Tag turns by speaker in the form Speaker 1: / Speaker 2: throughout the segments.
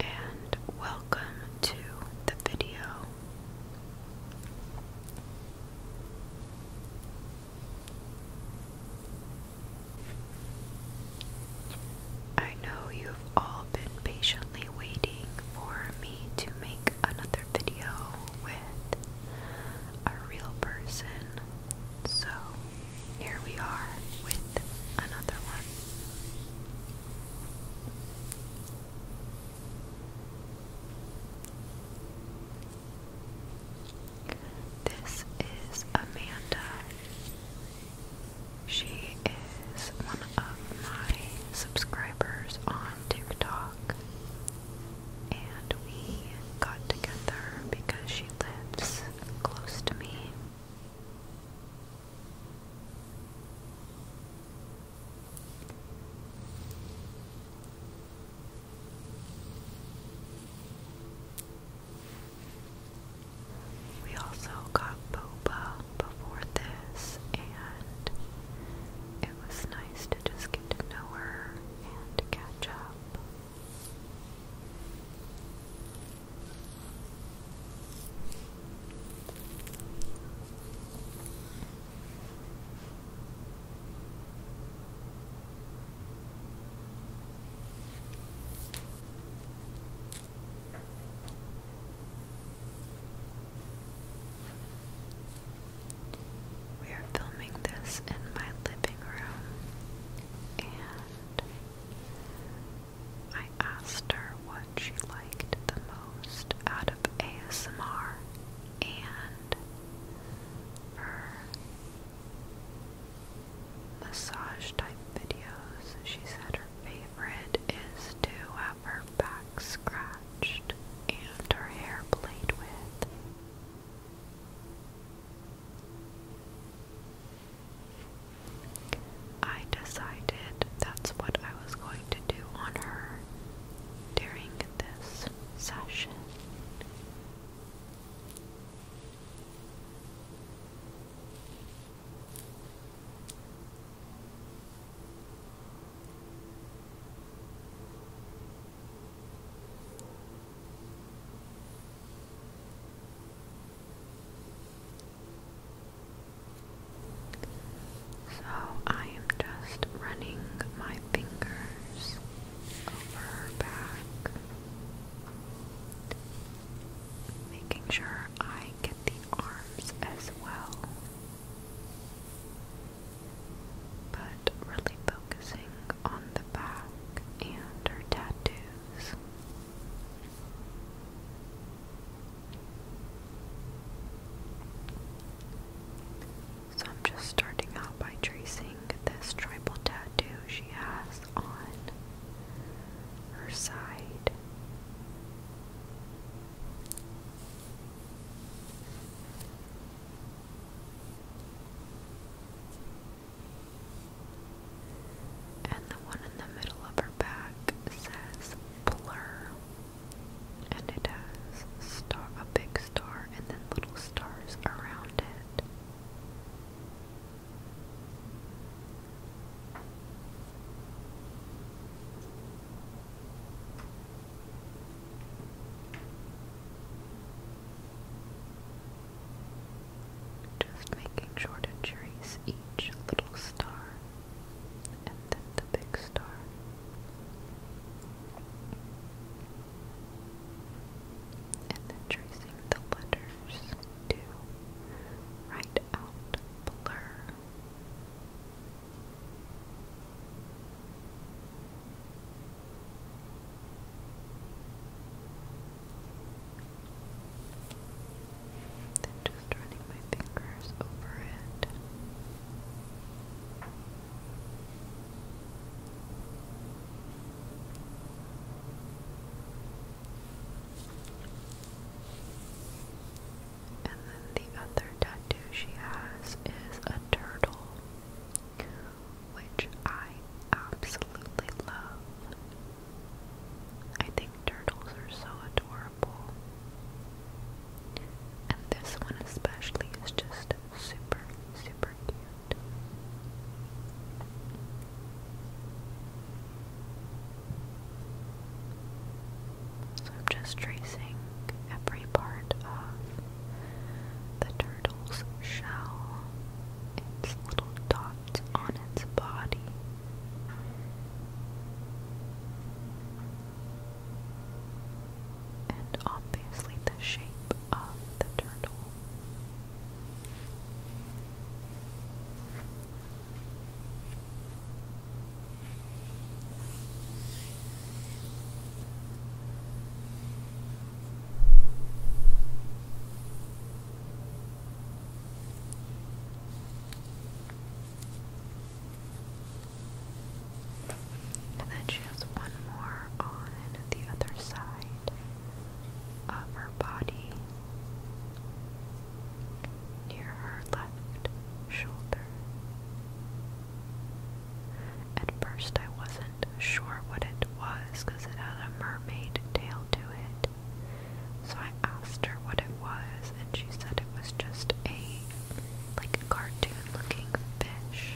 Speaker 1: and welcome to the video. I know you've all been patiently waiting for me to make another video with a real person so here we are with another one. This is Amanda. She is one of my subscribers on TikTok. And we got together because she lives close to me we also got boba before this, and it was nice to just get to know her and catch up. We are filming this in my living room, and I asked her what she liked the most out of ASMR and massage type videos. She said her favorite is to have her back scratched and her hair played with. I decided that's what I was going to do on her during this session. So I am just running my fingers over her back, making sure I get the arms as well, but really focusing on the back and her tattoo. So I'm just starting out by tracing this tribal tattoo she has on her side. And the one in the middle of her back says blur. And it has a big star and then little stars around it. Just making sure to trace each little star and then the big star. And then tracing the letters to write out blur. Then just running my fingers over it. And then the other tattoo she has is a turtle which I absolutely love. I think turtles are so adorable. And this one especially is just super, super cute. So I'm just tracing every part of the turtle turtle's shell, its little dots on its body. And obviously, the shape of the turtle. And then she has one more on the other side of her body near her left shoulder. At first, I wasn't sure what it was because it had a mermaid tail to it. So I asked her what it was, and she said it was just a like cartoon-looking fish.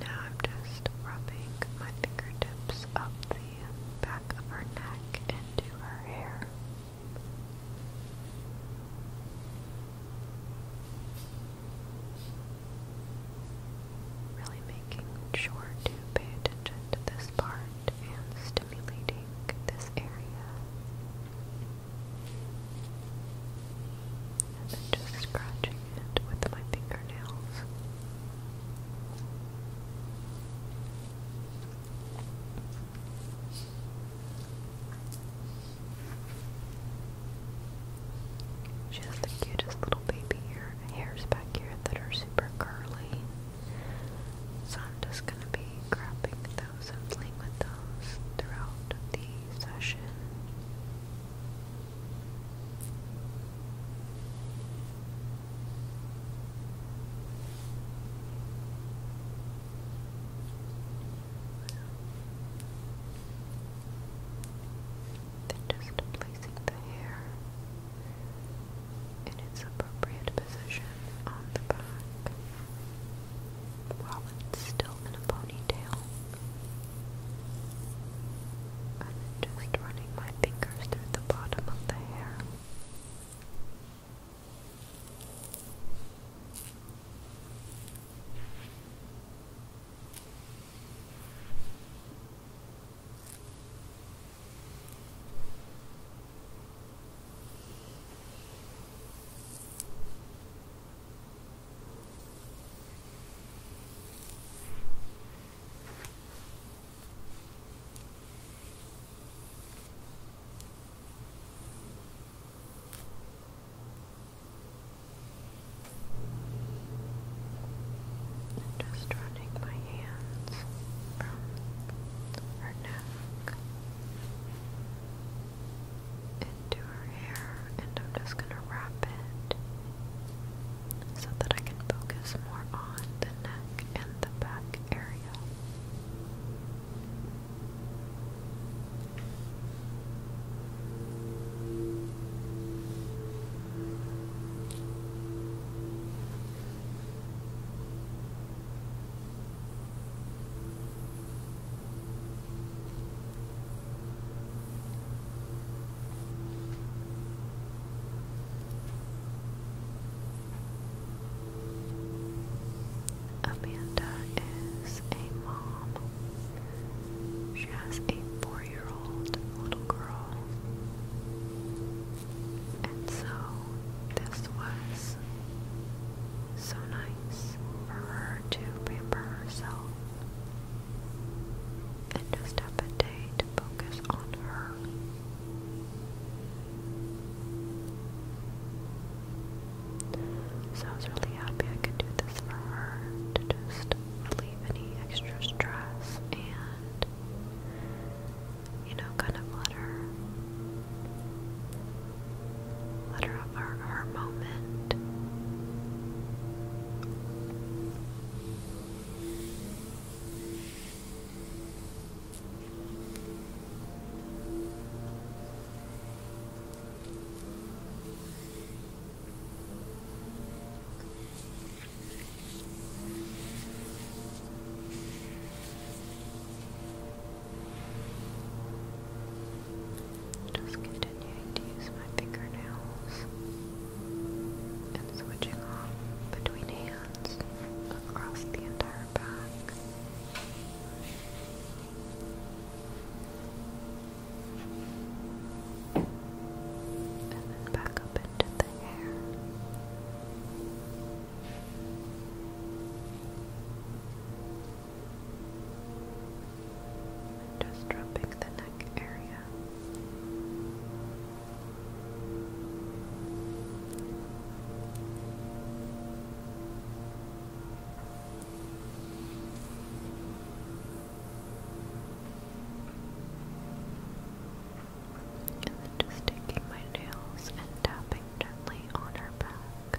Speaker 1: Now I'm just rubbing my fingertips up the back of her neck into her hair. Really making sure to pay attention to this part and stimulating this area and then just scratching it with my fingernails. She has the cutest little baby hair, back here that are super curly. So I'm just gonna be grabbing those and playing with those throughout the session. Then just placing the hair in its appropriate position on the back while it's still in a ponytail and then just running my fingers through the bottom of the hair. And just running my hands from her neck into her hair and I'm just gonna wrap it so that I can focus more on the neck and the back area. Amanda is a mom. She has a four year old little girl. And so this was so nice for her to pamper herself and just have a day to focus on her. So I was really happy I could do this for her to just relieve any extra stress and, you know, kind of let her let her have her, her moment. Just continuing to use my fingernails and switching off between hands across the entire back. And then back up into the hair. Just dropping the neck area. And just taking my nails and tapping gently on her back.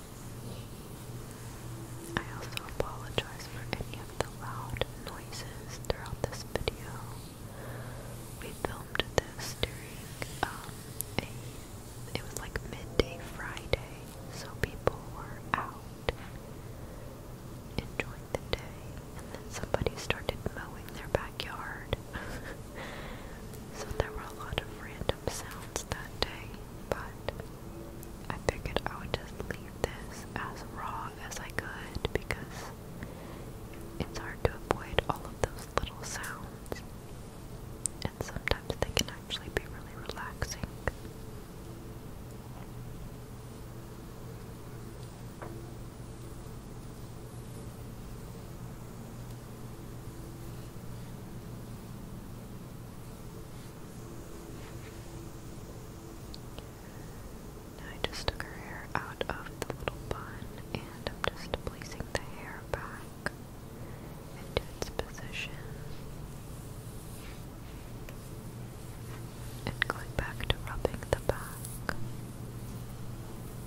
Speaker 1: I also apologize for any of the loud noises throughout this video. We filmed this during um, a it was like midday Friday, so people were out enjoying the day, and then somebody started mowing their backyard. so there were a lot of random sounds that day, but I figured I would just leave this as raw as I could because it's hard to avoid all of those little sounds, and sometimes they can actually be really relaxing. I just took her hair out of the little bun and I'm just placing the hair back into its position and going back to rubbing the back.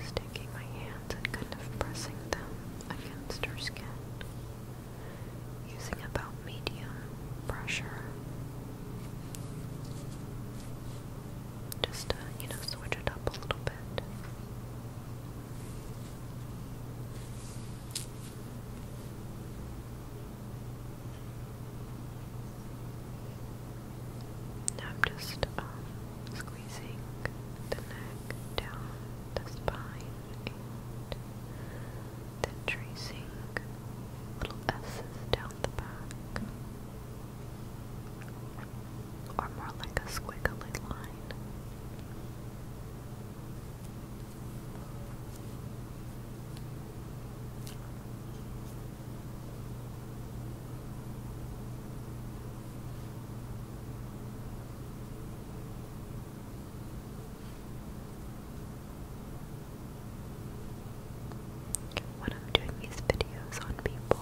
Speaker 1: just taking my hands and kind of pressing them against her skin, using about medium pressure. Just to, you know, switch it up a little bit. I'm just um, squeezing the neck down the spine then tracing little S's down the back. Or more like a squiggly line. When I'm doing these videos on people,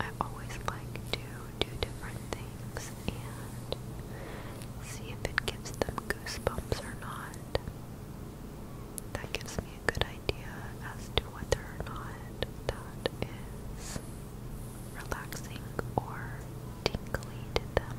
Speaker 1: I always like to do different things and see if it gives them goosebumps or not. That gives me a good idea as to whether or not that is relaxing or tingly to them.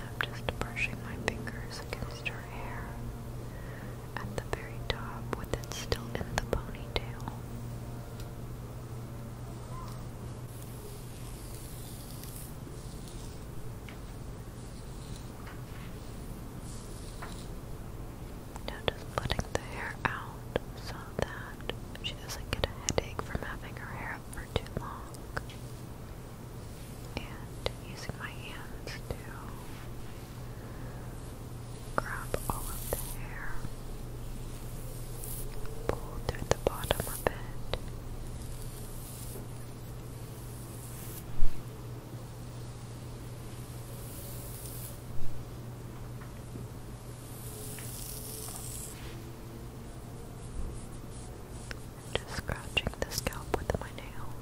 Speaker 1: I'm just brushing my fingers against her hair at the very top with it still in the ponytail. Now just putting the hair out so that she doesn't get a headache from having her hair for too long and using my hands to grab all of the hair, pull through the bottom of it. I'm just scratching the scalp with my nails.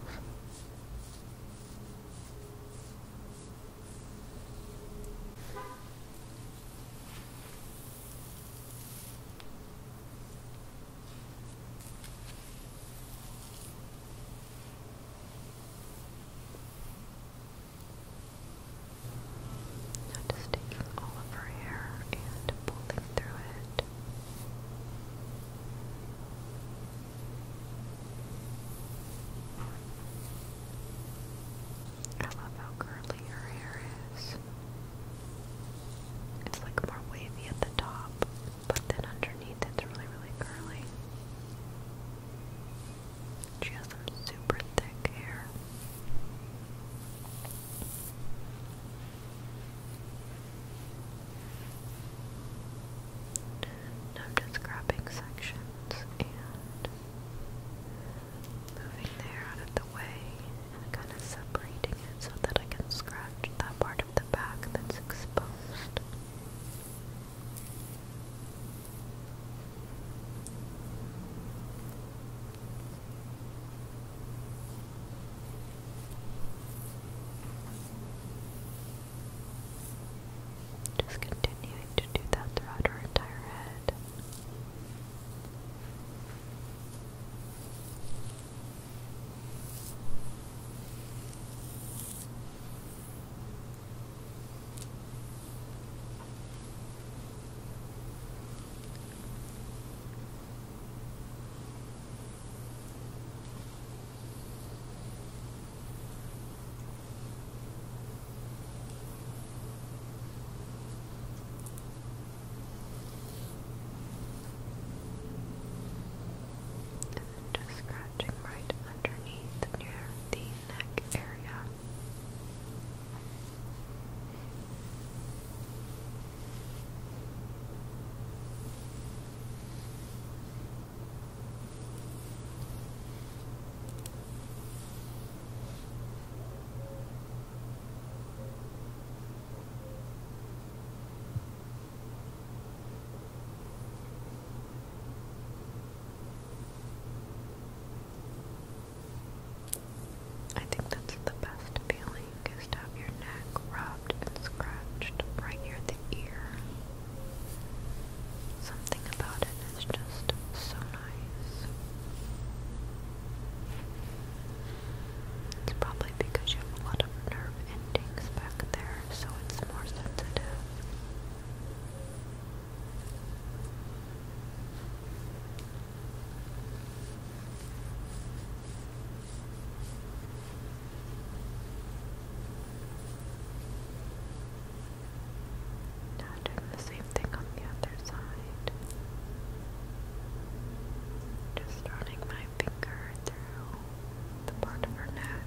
Speaker 1: Notice taking all of her hair and pulling through it. I love how curly her hair is. It's like more wavy at the top, but then underneath it's really, really curly. She has some super thick hair. I'm just grabbing sections and moving the out of the way and kind of separating it so that I can scratch that part of the back that's exposed. Just continuing to do that throughout her entire head. And then just scratching right underneath near the neck area. I think that's the best feeling is to your neck rubbed and scratched right near the ear. Something about it is just so nice. It's probably because you have a lot of nerve endings back there, so it's more sensitive. Now doing the same thing on the other side. Just running my finger through the part of her neck.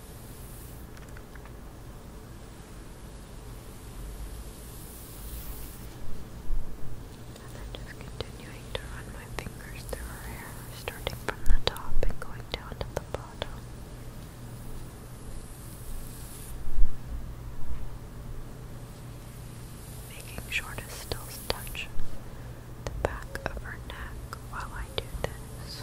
Speaker 1: And then just continuing to run my fingers through her hair, starting from the top and going down to the bottom. Making sure to still touch the back of her neck while I do this.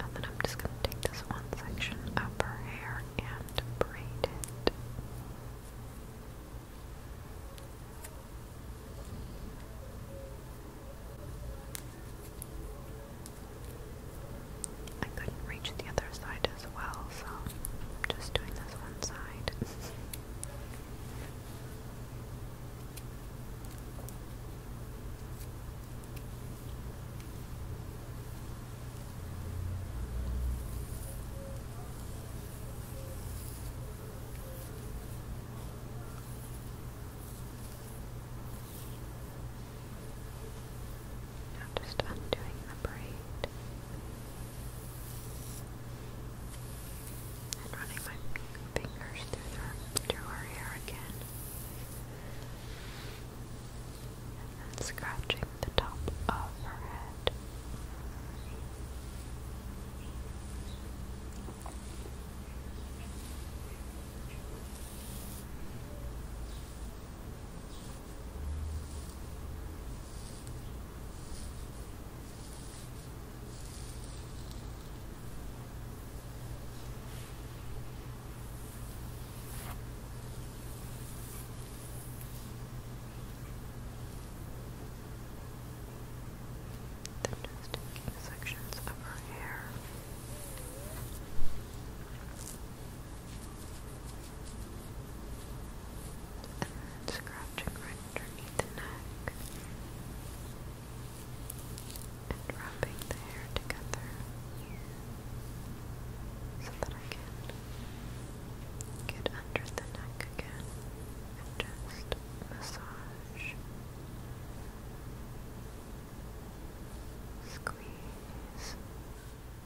Speaker 1: And then I'm just going to take this one section of her hair and braid it. I couldn't reach the other side as well, so I'm just doing this one side. I'm just undoing the braid. And running my fingers through her, through her hair again. And scratching the top of her head. Then just taking sections of her hair. And then scratching right underneath the neck. And wrapping the hair together so that I can get under the neck again and just massage, squeeze,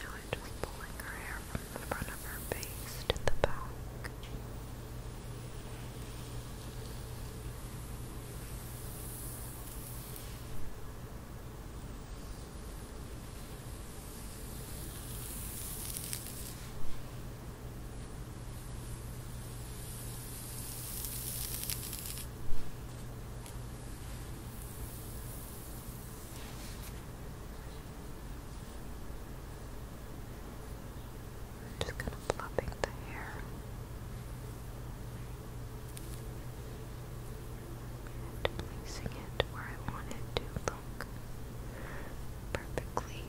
Speaker 1: Now I'm just pulling her hair from the front of her face to the back. Just kind of flopping the hair and placing it where I want to look perfectly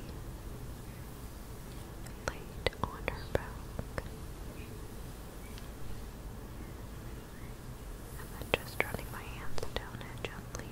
Speaker 1: laid on her back. And then just running my hands down it gently.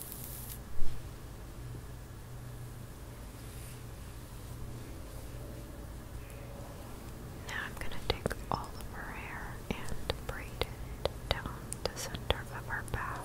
Speaker 1: Now I'm going to take all of her hair and braid it down the center of her back.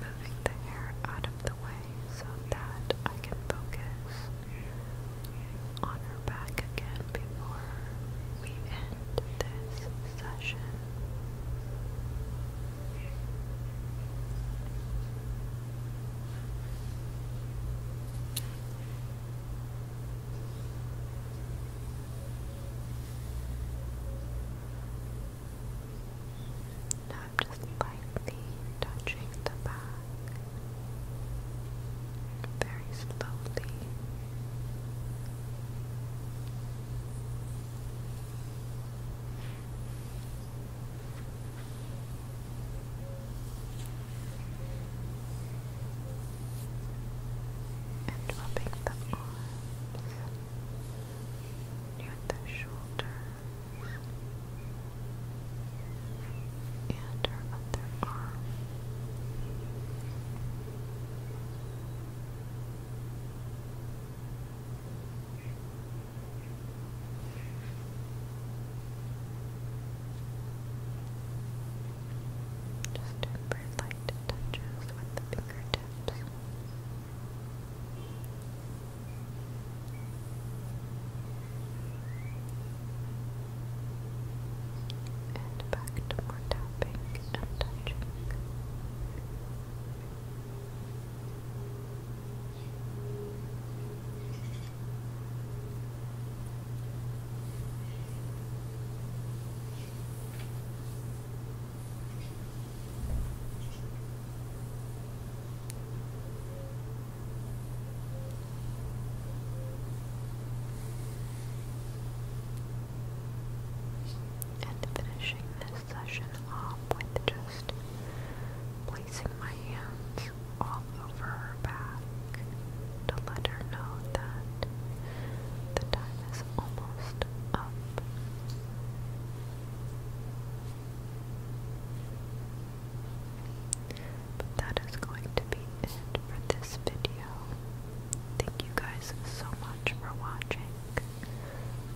Speaker 1: Moving the hair out of the way so that I can focus on her back again before we end this session. Now I'm just lightly touching the back very slowly and rubbing the arms near the shoulders and her other arm. Just temper light touches with the fingertips. And back to more tapping and touching. And finishing this session off with just placing my hands all over her back to let her know that the time is almost up. But that is going to be it for this video. Thank you guys so much for watching.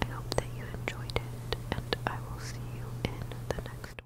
Speaker 1: I hope that you enjoyed it, and I will see you in the next one.